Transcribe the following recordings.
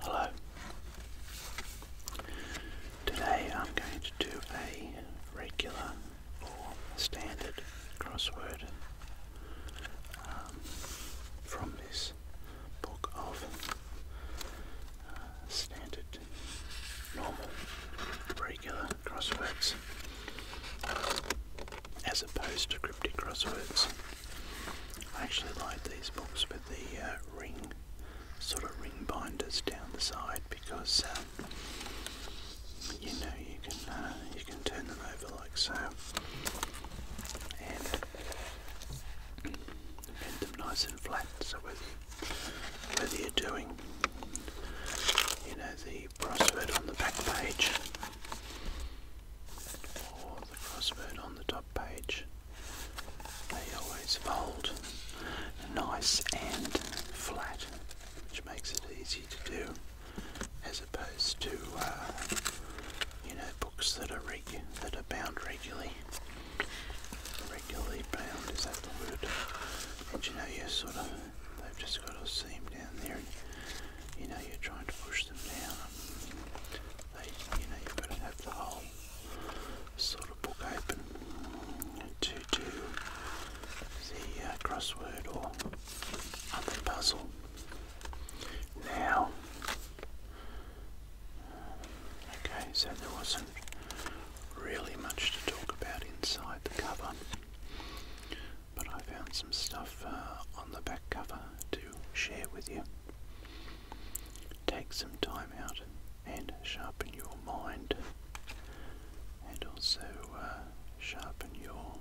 Hello. Today I'm going to do a regular or standard crossword um, from this book of uh, standard, normal, regular crosswords as opposed to cryptic crosswords. I actually like these books with the uh, ring, sort of ring binders down the side because um, you know you can uh, you can turn them over like so and bend them nice and flat. So whether you, whether you're doing you know the crossword on the back page or the crossword on the top page. They always fold nice and flat, which makes it easy to do as opposed to uh, you know books that are reg that are bound regularly. Regularly bound is that the word? you know you sort of they've just got a seam down there and you know you're trying to push them down you know, you've got to have the whole sort of book open to do the uh, crossword or other puzzle. Now, uh, okay, so there wasn't really much to talk about inside the cover, but I found some stuff uh, on the back cover to share with you. Take some time out and sharpen your mind and also uh, sharpen your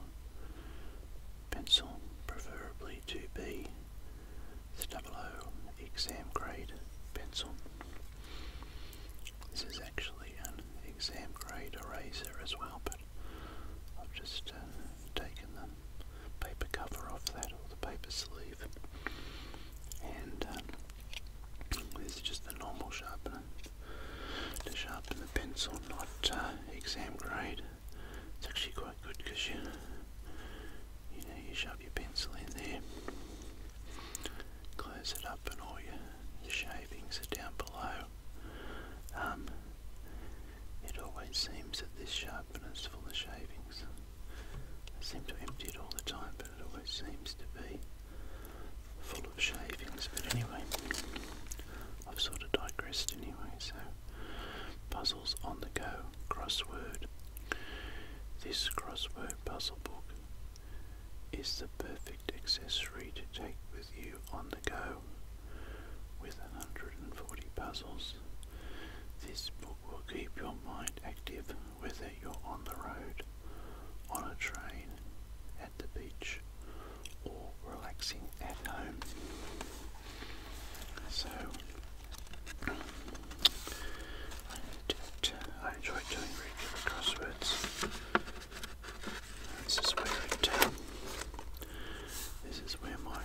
pencil, preferably to be the 00 exam grade pencil. This is actually an exam grade eraser as well, but I've just uh, taken the paper cover off that or the paper sleeve and uh, this is just the normal sharpener to sharpen the pencil, not uh, exam grade. It's actually quite good because you, you know, you shove your pencil in there, close it up and all your shavings are down below. Um, it always seems that this is full of shavings. I seem to empty it all the time, but it always seems to be full of shavings. But anyway, I've sort of digressed anyway, so puzzles on the go, crossword. This crossword puzzle book is the perfect accessory to take with you on the go with 140 puzzles. This book will keep your mind active whether you're on the road, on a train, at the beach, or relaxing at home. So, I, enjoy doing regular crosswords. This is where I um, this is where my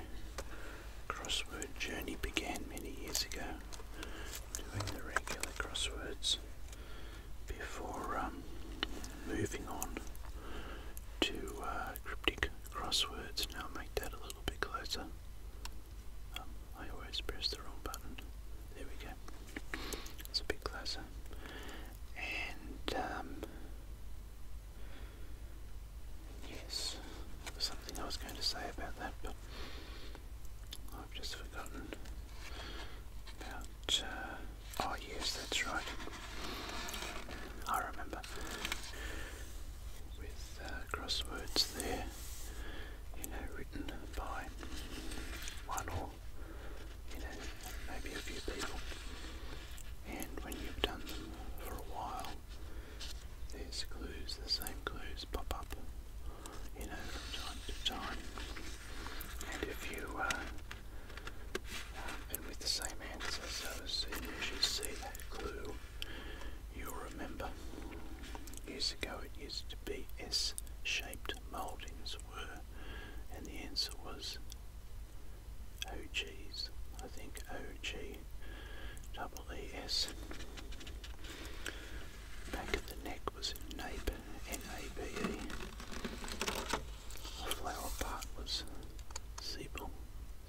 crossword journey began many years ago, doing the regular crosswords before um, moving on to uh, cryptic crosswords. Now make that a little bit closer. Um, I always press the wrong button. There we go. It's a bit closer. And um, Yes, there something I was going to say about that, but I've just forgotten uh, oh, yes, that's right. I remember with uh, crosswords there, you know, written by one or you know, maybe a few people, and when you've done them for a while, these clues, the same clues pop up, you know, from time to time. And if you, uh, and with the same answer, so as soon as you see that clue, you'll remember. Years ago it used to be S-shaped mouldings were, and the answer was OGs. I think OG double ES. Back of the neck was NABE, N-A-B-E. The flower part was Zeppel,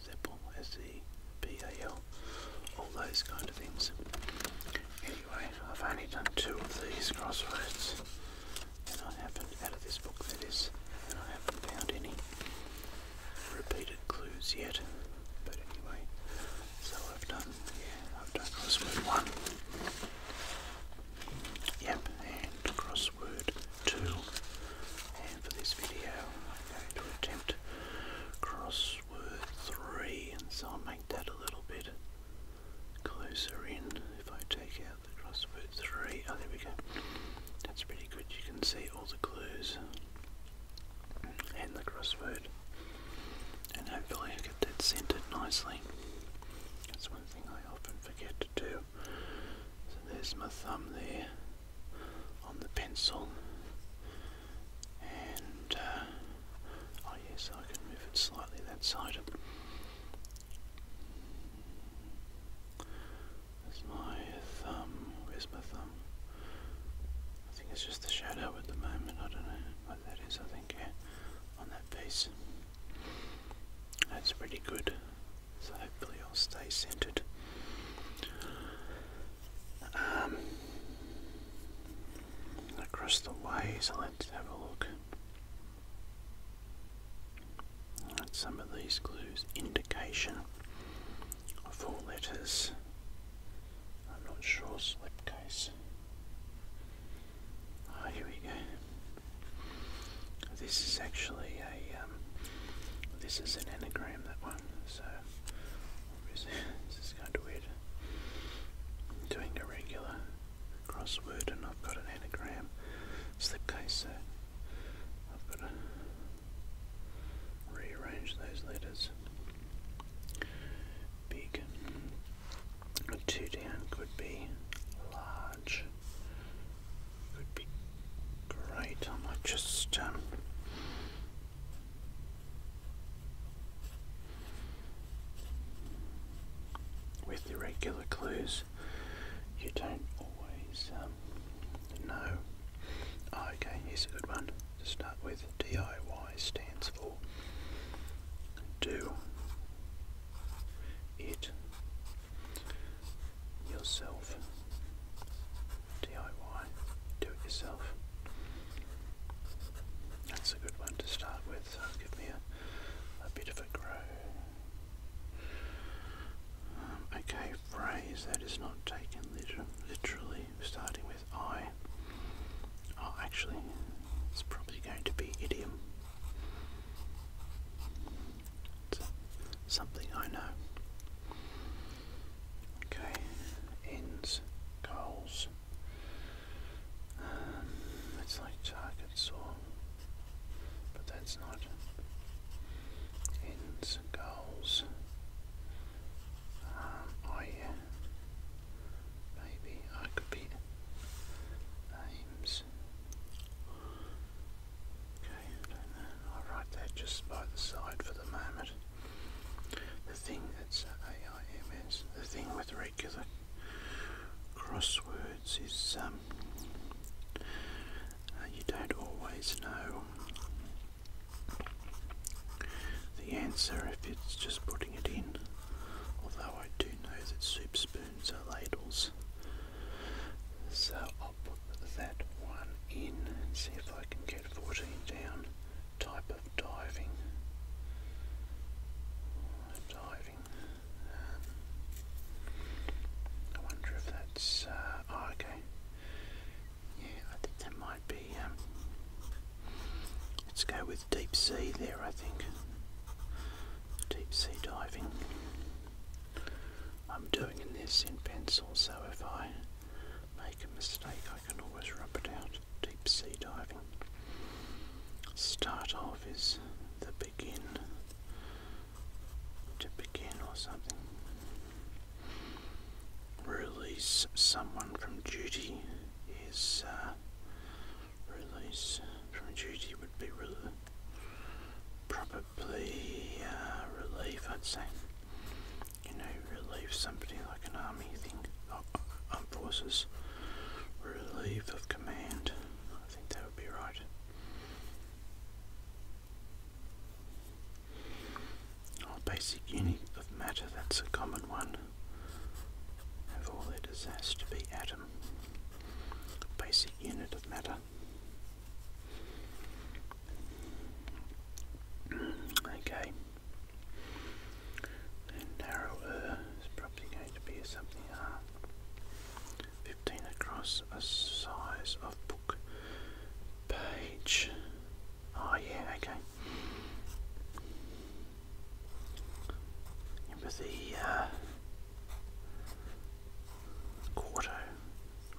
Zeppel, S-E-B-A-L. All those kind of things. Anyway, I've only done two of these crosswords and I haven't, out of this book that is, and I haven't found any repeated clues yet, but anyway, so I've done, yeah, I've done crossword 1, yep, and crossword 2, and for this video I'm going to attempt crossword 3, and so I'll make that a little bit closer in if I take out the crossword three. Oh, there we go. That's pretty good. You can see all the clues and the crossword. And hopefully I get that centered nicely. That's one thing I often forget to do. So there's my thumb there on the pencil. And, uh, oh yes, I can move it slightly that side. That's my thumb. Where's my thumb? I think it's just the shadow at the moment. I don't know what that is. I think yeah, on that piece. That's pretty good. So hopefully I'll stay centered. Um, across the way, so let's have a look some of these clues. Indication. of Four letters. I'm not sure. Slipcase. Ah, here we go. This is actually a. Um, this is an anagram. That one. So obviously this is kind of weird. doing a regular crossword, and I've got an anagram slipcase. So I've got a rearrange those letters. Big. Two down could be large. Could be great. I might just um, with the regular clues, you don't always um, no. Ah, okay, here's a good one to start with. DIY stands for do it yourself. DIY, do it yourself. That's a good one to start with. So give me a, a bit of a grow. Um, okay, phrase that is not taken literally, starting with I. Oh, actually, it's probably going to be idiom. something I know. Okay, ends, goals. Um, it's like targets or, but that's not ends, goals. I um, maybe I could be aims. Okay, I will write that just by the side for the moment. The thing that's AIMS, the thing with regular crosswords is um, you don't always know the answer if it's just putting it in, although I do know that soup spoons are ladles. So I'll put that one in and see if I can get 14 down. Type of diving. Diving. Um, I wonder if that's. Uh, Oh, okay. Yeah, I think that might be. Um, let's go with deep sea there, I think. Deep sea diving. I'm doing this in pencil, so if I make a mistake, I can always rub it out. Deep sea diving. Start off is the begin to begin or something. Release someone from duty is uh, release from duty would be probably uh, relief I'd say. You know, relieve somebody like an army thing, oh, armed forces, relieve of command. I think that would be right. Our basic unit of matter, that's a common one. Of all it is has to be atom. Basic unit of matter. Mm, okay. narrower is probably going to be something uh, 15 across a size of book page. Oh, yeah, okay. Empathy uh, Quarto.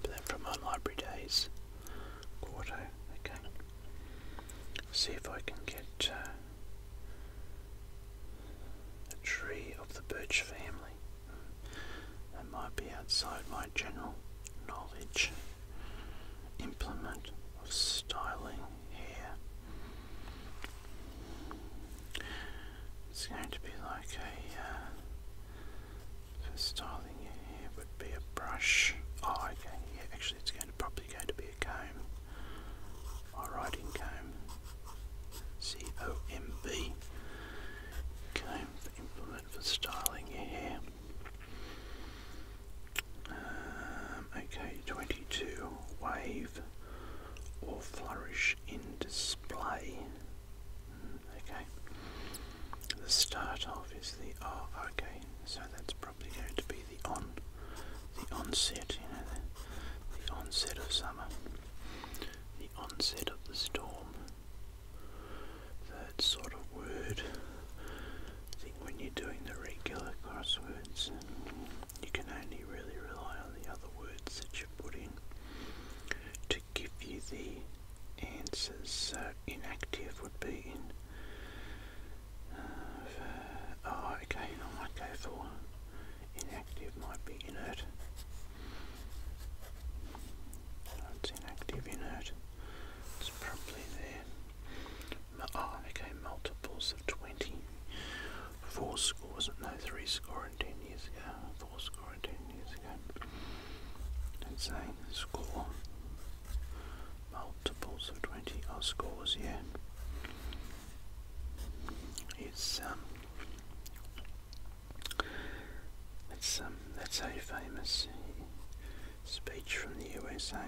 But my library days. Quarto, okay. See if I can get uh, a tree of the birch family. It might be outside my general knowledge. Implement of styling here. It's going to be like a uh, for styling here would be a brush. Oh, okay. Yeah, actually, it's going to probably going to be a comb. My writing comb. C O M B. Comb implement for styling your um, okay, 22. Wave or flourish in display. Mm, okay. The start of is the oh, okay. So that's probably going to be the on, the onset. You know, the onset of summer, the onset of the storm, that sort of word. I think when you're doing the regular crosswords, you can only really rely on the other words that you are putting to give you the answers. So inactive would be in. Uh, oh, okay, I might go for inactive, might be inert. That's inactive inert. It's probably there. Oh, okay, multiples of 20. Four scores, no, three score and 10 years ago. Four score and 10 years ago. Let's say score. Multiples of 20 are scores, here. It's, um, that's um, that's a famous uh, speech from the USA.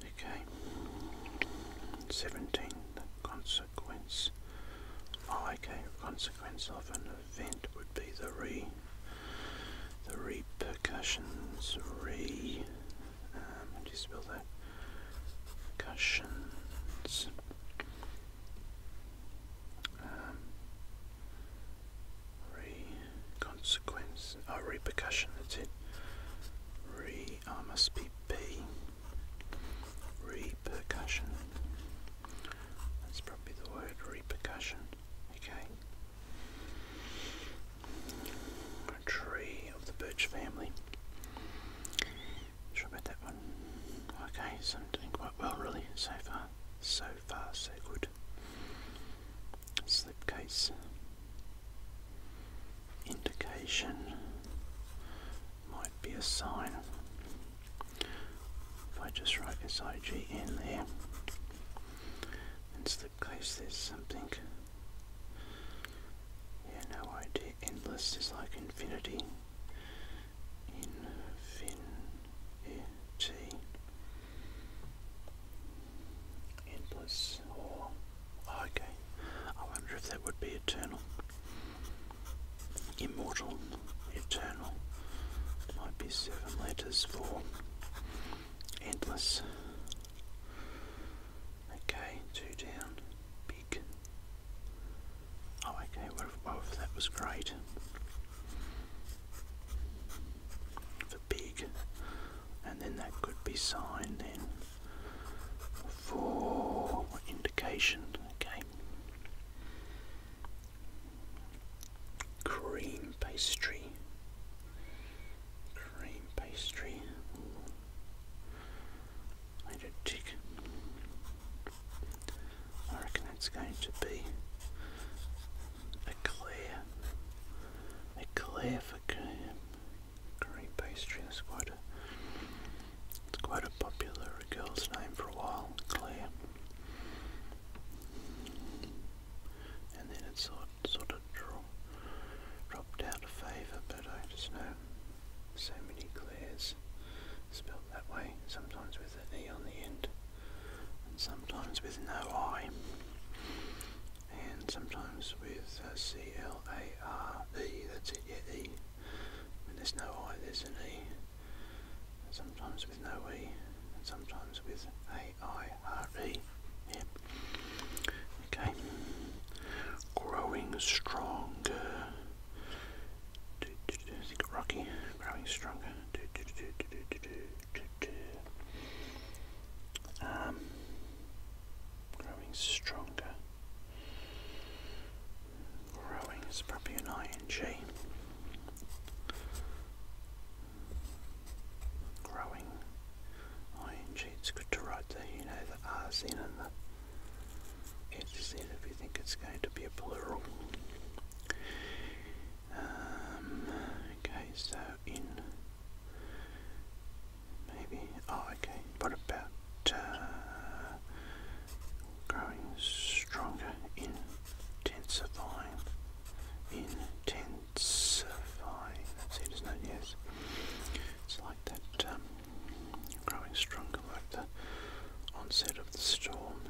Okay, seventeen. The consequence. Oh, okay. Consequence of an event would be the re, the repercussions. Re. Um, how do you spell that? Percussions um, oh repercussion, that's it, re, I must be B, repercussion, that's probably the word, repercussion, okay, a tree of the birch family about that one. Okay, so I'm doing quite well really so far. So far, so good. Slipcase indication might be a sign. If I just write SIG in there and slipcase, there's something. Yeah, no idea endless is like infinity. Infinity. Endless Oh, okay. I wonder if that would be eternal. Immortal. Eternal. Might be seven letters for endless. Okay, two down. Big Oh, okay, well, that was great. For big, and then that could be signed then for indication, okay. Cream pastry. Cream pastry. I do I reckon that's going to be a clear, a clear for green pastry. That's quite it's quite a popular girl's name for a while, Claire. And then it sort, sort of dropped out of favour, but I just know so many clears spelled that way, sometimes with an E on the end, and sometimes with no I, and sometimes with uh, C-L-A-R-E, that's it, yeah, E. When there's no I, there's an E. sometimes with no E, and sometimes with A-I-R-E, yeah. Okay. Growing stronger. Has he Rocky? Growing stronger. growing stronger. Growing is probably an ing. Growing ing. It's good to write the you know the r's and the it's it if you think it's going to be a plural. Um, okay, so in maybe oh okay, what about uh, growing stronger, intensifying, intensifying. That's it, isn't Yes, it's like that. Um, growing stronger like the onset of the storm.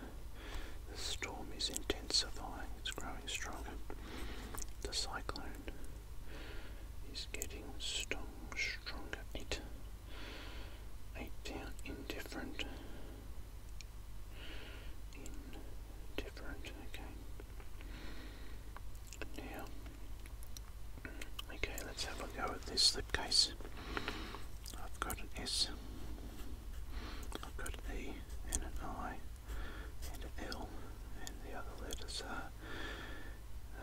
The storm is intensifying, it's growing stronger. The cyclone is getting strong, stronger. Eight, eight down, indifferent, indifferent. Okay. Now Okay, let's have a go at this slipcase. I've got an S, I've got an E and an I and an L and the other letters are uh,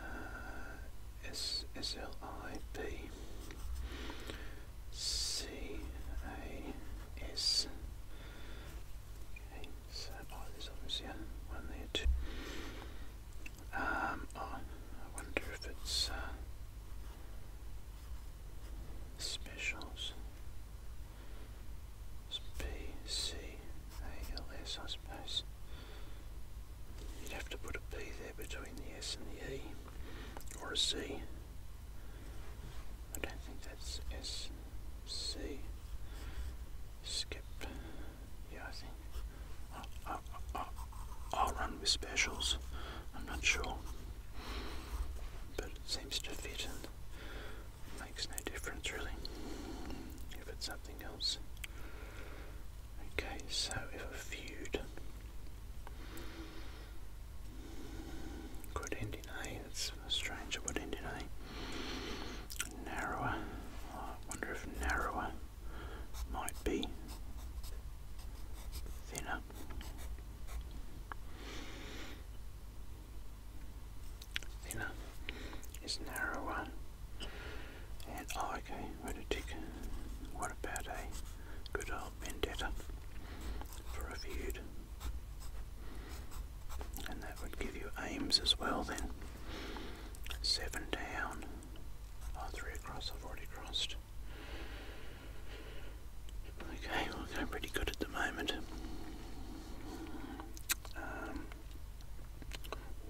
Okay, so oh, there's obviously one there too. Um, oh, I wonder if it's uh, specials. It's suppose. You'd have to put a P there between the S and the E, or a C. I don't think that's S C. Skip. Yeah, I think I'll, run with specials. I'm not sure. But it seems to fit makes no difference really if it's something else. Okay, so if a feud could end eh? in A, that's strange, it end in A. Eh? Narrower. Oh, wonder if narrower might be thinner. Thinner is narrower. And oh, okay, where to tick? What about a good old vendetta for a feud? And that would give you aims as well then. Seven down. Oh, three across, I've already crossed. Okay, well, I'm pretty good at the moment. Um,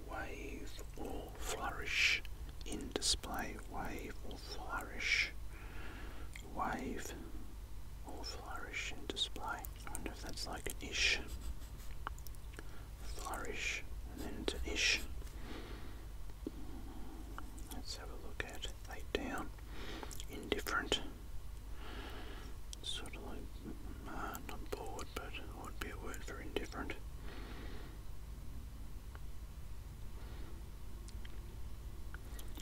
wave or flourish in display. Wave or flourish. Wave or flourish in display. I wonder if that's like an ish flourish, and then it's Let's have a look at laid down, indifferent, sort of like uh, not bored, but would be a word for indifferent.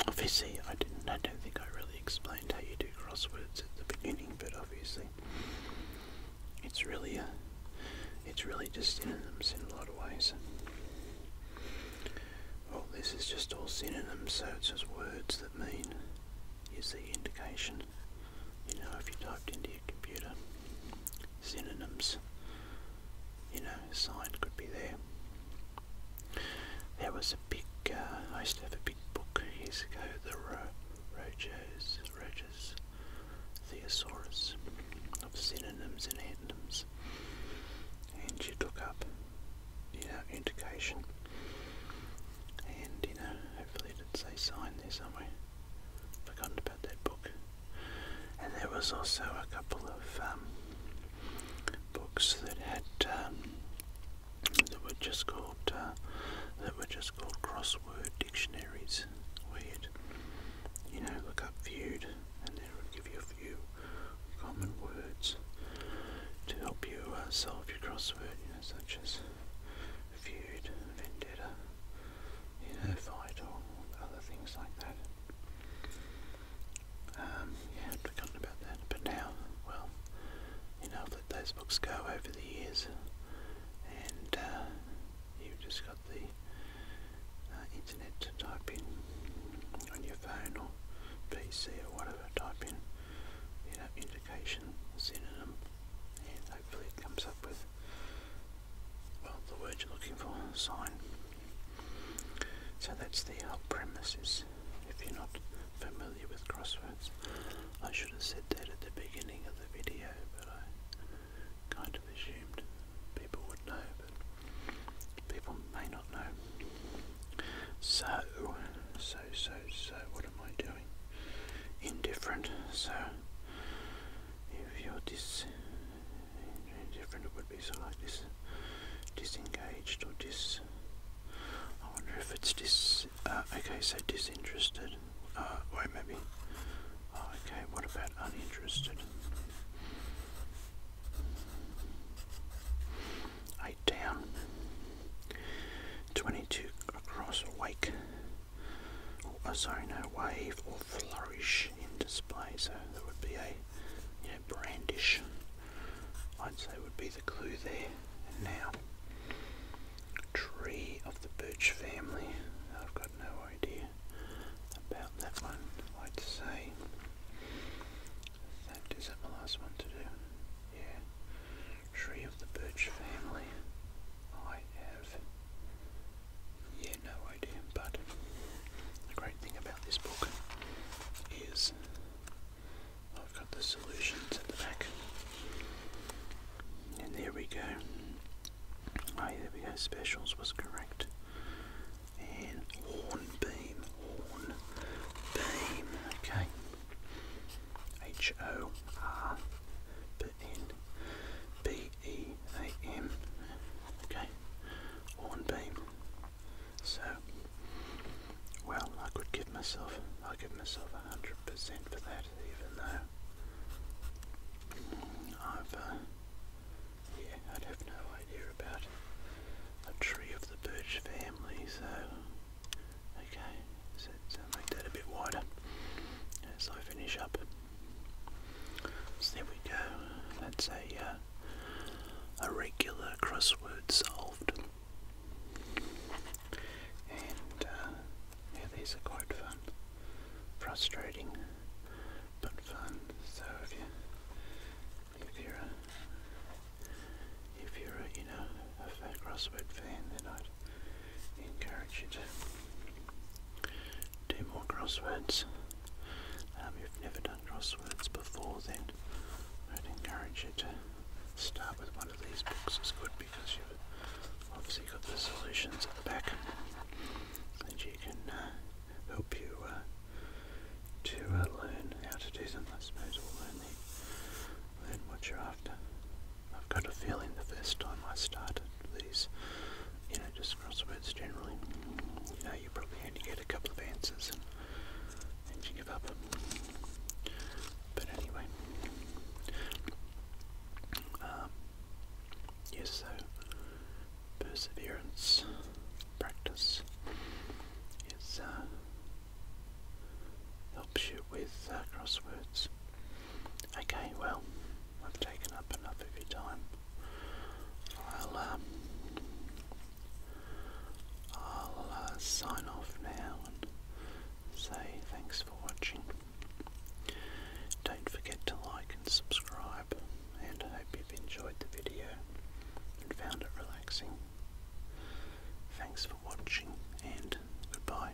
Obviously, I didn't. I don't think I really explained how you do crosswords at the beginning, but obviously, it's really a, uh, it's really just synonyms in a lot of ways. Well, this is just all synonyms, so it's just words that mean is the indication. You know, if you typed into your computer synonyms, you know, sign could be there. There was a big, uh, I used to have a big book years ago, the Rojo's Regis, Theosaurus, of synonyms and antonyms, and she took up, the know, indication, and you know, hopefully it did say sign there somewhere. Forgotten about that book, and there was also a couple of um, books that had um, that were just called uh, that were just called crossword dictionaries is weird. You know, look up viewed and it will give you a few common words to help you uh, solve your crossword, you know, such as viewed, vendetta, you know, fight or other things like that. Um, yeah, I'd forgotten about that, but now, well, you know, I've let those books go over the years and uh, you just got the uh, internet to type in on your phone or PC or whatever. Type in, you know, indication synonym, and hopefully it comes up with well the word you're looking for, sign. So that's the premises. if you're not familiar with crosswords, I should have said that at the beginning of the video, but I kind of assumed people would know, but people may not know. So, so, so, so, what am I doing? Indifferent. So, if you're dis indifferent, it would be sort of like this disengaged or dis. I wonder if it's dis. Uh, okay, so disinterested. Uh, wait, maybe. Oh, okay, what about uninterested? Eight down. Twenty-two across a wake. Oh, sorry, no wave or flourish in display. So that would be a, you know, brandish. I'd say would be the clue there. now, tree of the birch family. I've got no idea about that one, I'd say that is that my last one to do. Yeah. Tree of the Birch family. I have yeah no idea, but the great thing about this book is I've got the solutions at the back. And there we go. Oh, yeah, there we go. Specials was correct. And hornbeam, hornbeam. Okay. H O R B N B E A M. Okay. Hornbeam. So, well, I could give myself, I give myself a hundred percent for that even though I've, uh, yeah, I'd have no idea about a tree of the birch family, so, okay, so make that a bit wider as I finish up. So there we go, that's a, uh, a regular crossword solved. And uh, yeah, these are quite fun. Frustrating, but fun. So if you, if you're a, if you're a, you know, a Fat Crossword fan, then I'd encourage you to do more crosswords. Um, if you've never done crosswords before, then I'd encourage you to start with one of these books. It's good because you obviously got the solutions at the back that you can uh, help you uh, to uh, learn how to do them. I suppose learn, learn what you're after. I've got a feeling the first time I started these, you know, just crosswords generally, you know, you probably only get a couple of answers and, you give up. But anyway, um, Yes, so perseverance, practice is uh, helps you with uh, crosswords. Okay, well, I've taken up enough of your time. I'll um, I'll uh, sign off now and say thanks for watching. Don't forget to like and subscribe, and I hope you've enjoyed the video and found it relaxing. Thanks for watching, and goodbye.